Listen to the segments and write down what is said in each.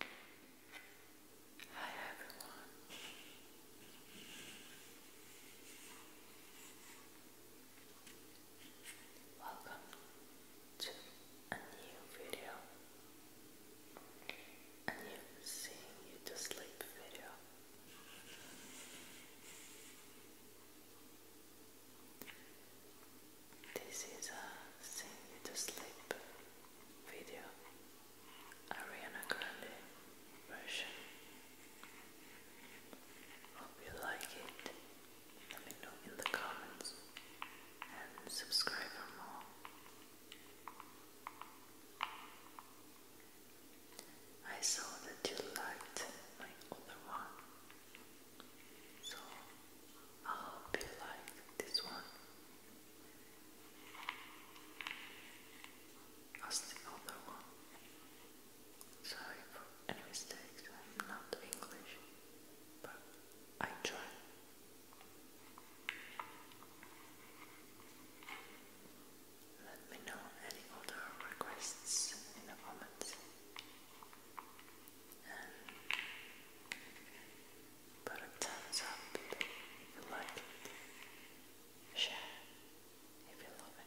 Hi. Hi everyone. Welcome to a new video. A new seeing you to sleep video. This is a Sing Me to Sleep video, Ariana Grande version. Hope you like it. Let me know in the comments and subscribe for more. I saw that you liked my other one. So I hope you like this one. As the other one. Sorry for any mistakes, I'm not English, but I try. Let me know any other requests in the comments and put a thumbs up if you like it. Share if you love it.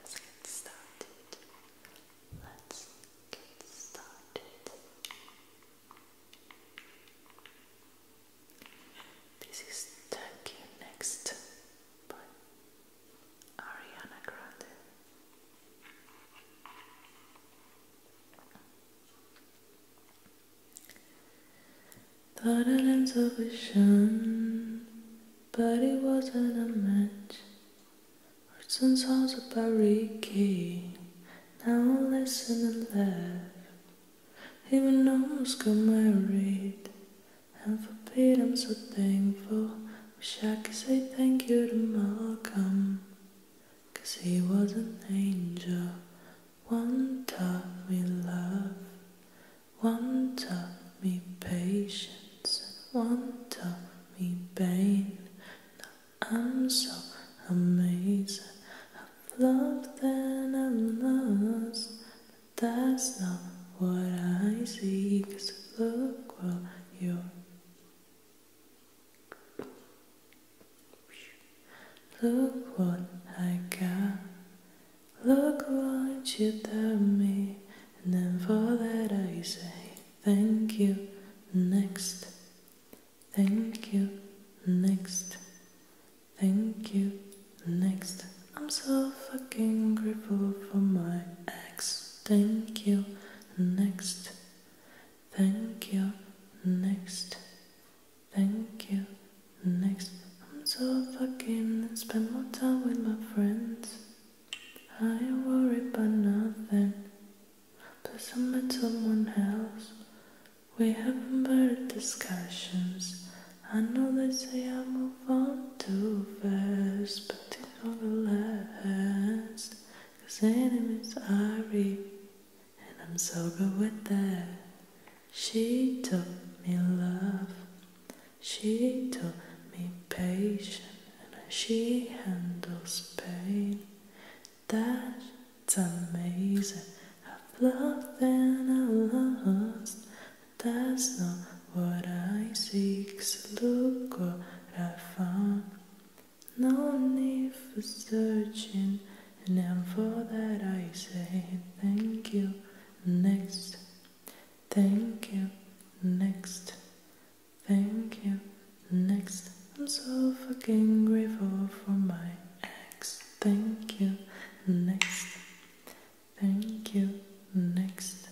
Let's get started. Let's get started. This is Taki Next by Ariana Grande. Thought an intuition, but it wasn't a match. Words and songs about Ricky, now I listen and laugh. Even almost got married. And for Pete, I'm so thankful. Wish I could say thank you to Malcolm. Cause he was an angel. One taught me love. One taught me patience. one taught me pain. Now I'm so amazing. I've loved and I've lost. That's not what I see. Cause look what you're Look what I got. Look what you to me. And then for that I say thank you next. Thank you next. Thank you. Next, I'm so fucking grateful for my ex. Thank you. Next, thank you. Next, thank you. Next, I'm so fucking spend more time with my friends. I worry about nothing. Plus, I met someone else. We haven't discussions. I know they say I move on too fast, but it all last. Cause enemies are real, and I'm so good with that. She taught me love, she taught me patience, and she handles pain. That it's amazing. I've loved and I've lost. But that's not what I seek. So look what I found. No need for searching. And then for that I say thank you. Next. Thank you. Next. Thank you. Next. I'm so fucking grateful for my ex thank you, next, thank you, next,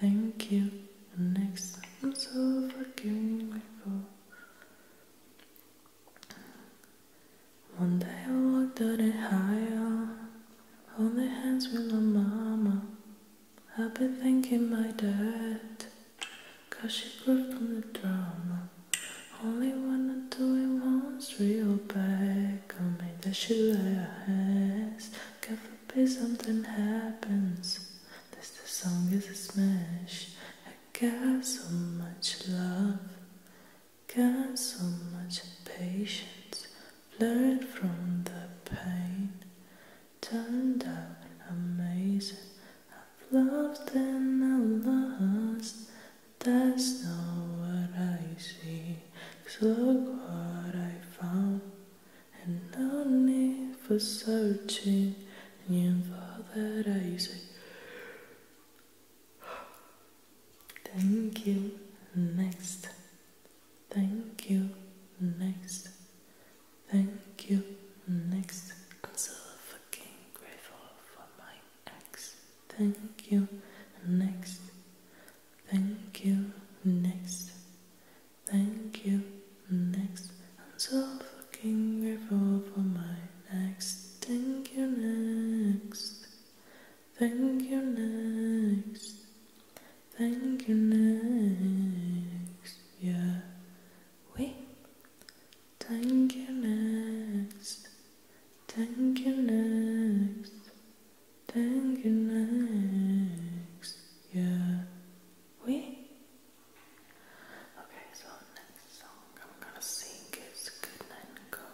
thank you, next. I'm so forgiving my One day I walked out it higher, the hands with my mama. i will be thanking my dad, cause she grew from the drama. Only wanna do it once, real bad. back on me that she has. God be something happens. This the song is a smash. I got so much love, got so much patience. Learned from the pain, turned out amazing. I've loved and I lost. That's not what I see. Cause look what I found. And no need for searching. And you for that I say. Thank you. Next. Thank you. Next. Thank you. Next. I'm so fucking grateful for my X, thank you, next, thank you, next, thank you, next. I'm so fucking grateful for my next, thank you, next, thank you, next, thank you, next, yeah. Oui, Thank you next. Thank you next. Thank you next. Yeah. We? Okay, so next song I'm gonna sing is Good Night and Go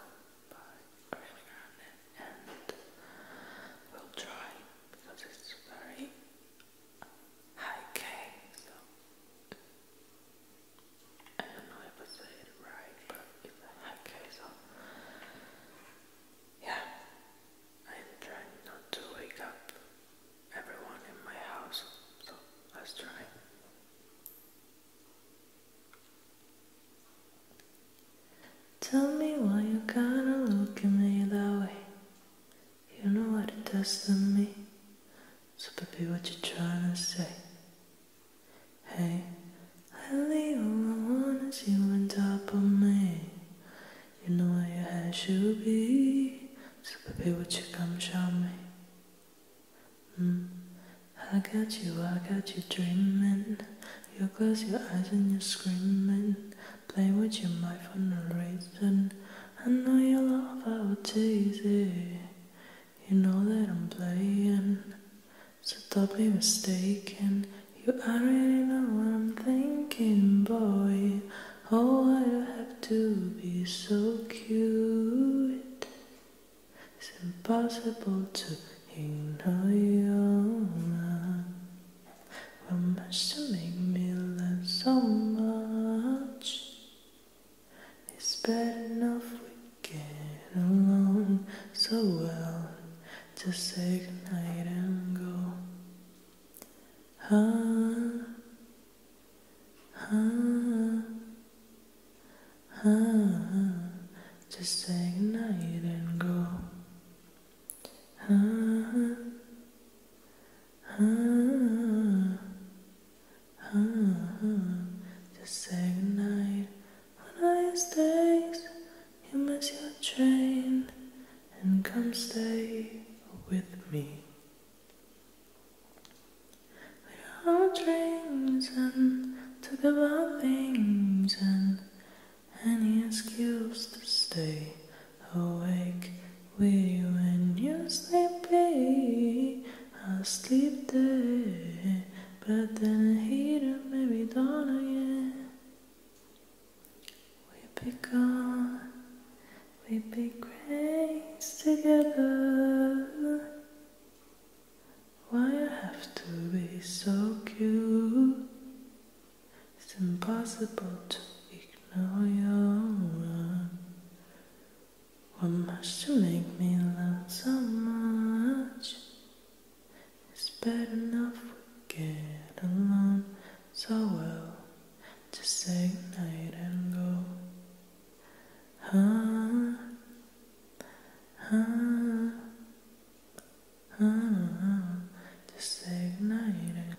by Ariana and we'll try because it's very high K, I I said right, but it's a so yeah, I'm trying not to wake up everyone in my house, so let's try. Tell me why you gotta look at me that way. You know what it does to me. So baby, what you trying to say? Hey, I leave all I want is you on top of me. You know where your head should be. So baby, what you come show me? Hmm. I got you, I got you dreaming. You close your eyes and you're screaming. Play with your mind for no reason. I know you love, I will tease you know that I'm playing, so don't be mistaken. You already know what I'm thinking, boy. Oh, why do I have to be so cute? It's impossible to ignore you. What much to make me love so much? It's bad enough we get along so well. Just say goodnight and go. Huh? Huh? Huh? Just say goodnight and go. Huh? Just say goodnight when I stay. You miss your train and come stay with me. We held drinks and talk about things and any excuse to stay awake with you when you're sleepy. I'll sleep there, but then I hate it, maybe dawn again. We pick on, we be grains together. Why I have to be so cute? It's impossible to ignore your what must you make me love so much? It's bad enough we get along so well. Just say goodnight and go. Huh? Huh? Huh? Just say night and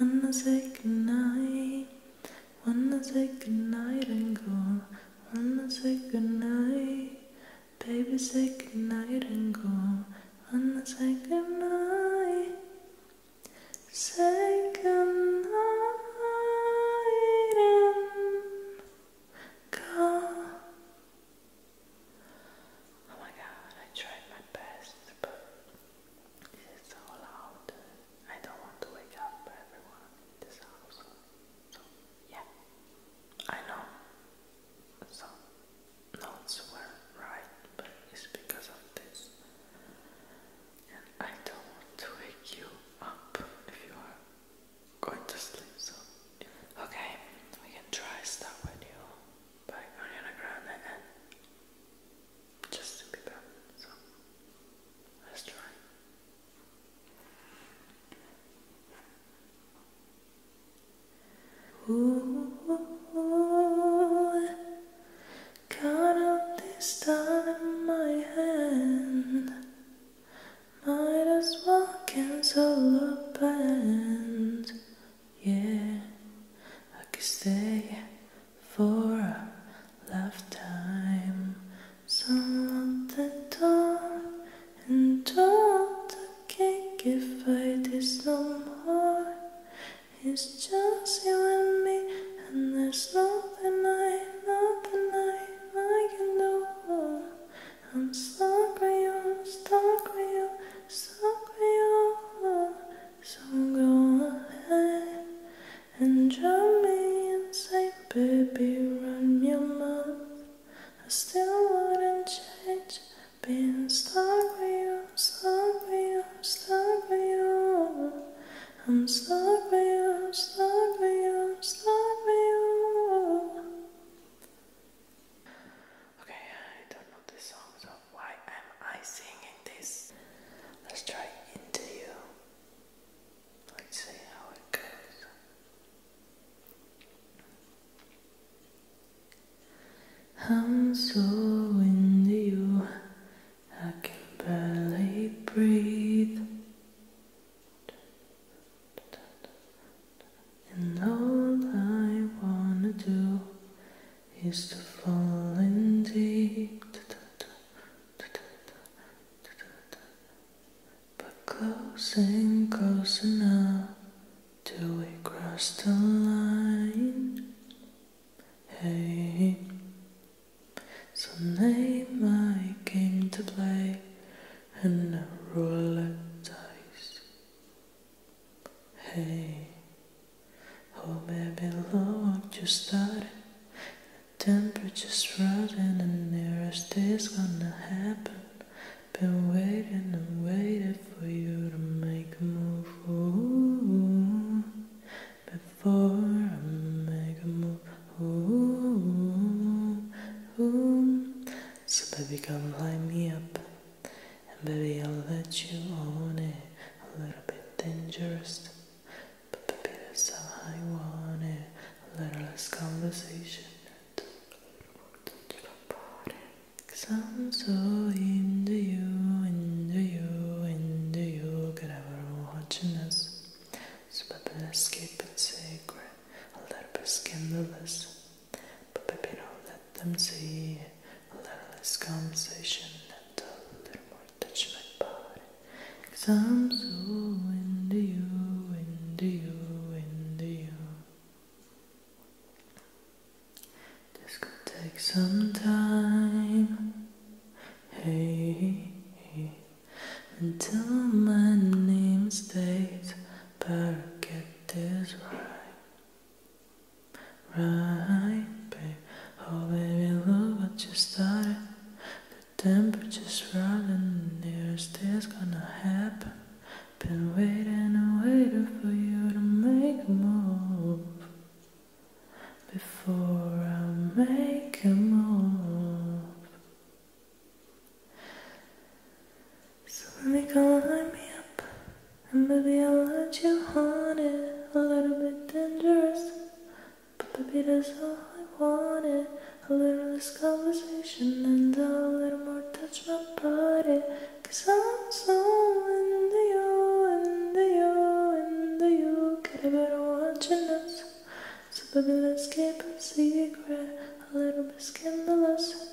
Wanna say goodnight, wanna say goodnight and go, wanna say goodnight. Baby, say goodnight and go Unless I goodnight Say goodnight and go Oh my god, I tried my best but it's so loud I don't want to wake up everyone in this house yeah, I know. So notes were right, but it's because of this. And I don't want to wake you up if you are going to sleep. So okay, we can try "Start with You" by Ariana Grande and Justin Bieber. So let's try. Ooh, count out this time in my hand. Might as well cancel a band. Yeah, I could stay for a lifetime. Someone at the door and told the cake if I did some more. It's just you and me, and there's nothing I, nothing I, I can do. I'm stuck with you, stuck with you, stuck with you. So go ahead and drown me and inside, baby, run your mouth. I still wouldn't change. Being stuck with you, stuck with you, stuck with you. I'm stuck with you, stuck with you, stuck with you. Okay, I don't know this song, so why am I singing this? Let's try into you. I'm so into you, I can barely breathe. And all I wanna do is to fall in deep but close and close enough till we cross the line. Hey, so name my game to play and a roulette dice. Hey, oh baby, Lord, you started Temperature's rising and nearest is gonna happen. Been waiting and waiting for you to make a move. before I make a move. So baby, come light me up. And baby, I'll let you own it. A little bit dangerous but the best I wanted a little less conversation and Cause I'm so into you, into you, into you Get everyone watching us So baby let's keep it secret A little bit scandalous But baby don't let them see A little less conversation and a little more touch my body Cause I'm so into you, into you, into you. This could take some time. Hey, until my name stays, perfect get right. Right, babe. Oh, baby, look what you started. Temperatures running, is this gonna happen? Been waiting and waiting for you to make move before I make a move. So let me go line me up, and maybe I'll let you on it a little bit dangerous. But baby, that's all I wanted A little less conversation and a little more touch my body Cause I'm so into you, into you, into you Get a better watching know, So baby, let's keep it secret A little bit scandalous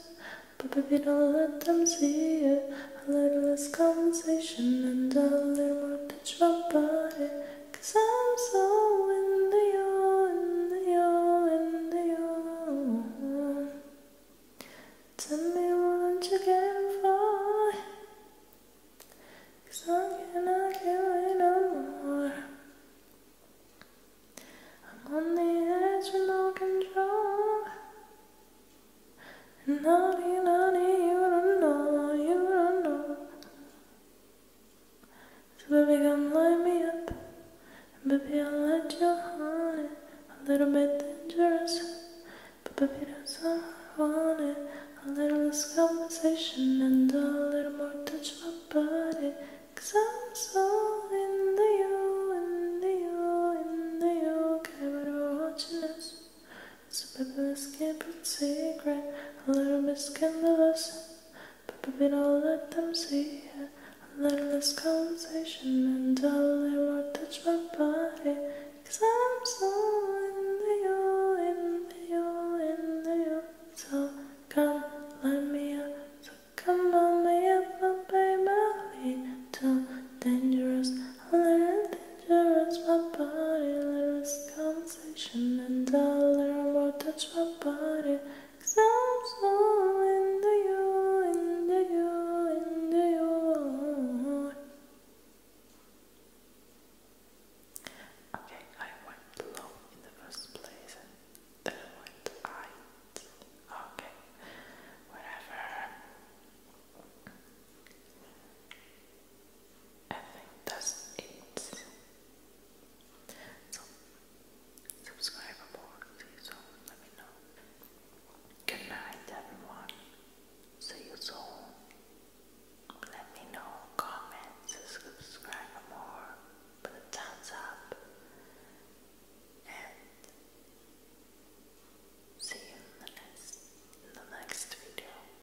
but baby, don't let them see it. A little less conversation and a little more touch my body. Cause I'm so into you, into you, into you. Tell me what you came for. I cannot give no more. I'm on the edge with no control. And naughty, naughty, you don't know, you don't know. So baby come light me up baby I'll let you A little bit dangerous But baby that's all I wanted A little less conversation And a little more touch my body i I'm so into you Into you, into you Care about watching us Superfluous can't be secret, a little bit scandalous, but we don't let them see it. A little less conversation and all they won't touch my body, cause I'm so into you, into you, into you. So come, let me up, so come on me up, my baby, too dangerous, a little dangerous, my body, a little scandalous and i little learn touch my body i I'm so into you, into you, into you Okay, I went low in the first place and then I Okay, whatever I think that's it. So, subscribe more, please. So let me know. Good night, everyone. See you soon. Let me know. Comment, subscribe more, put a thumbs up, and see you in the next in the next video.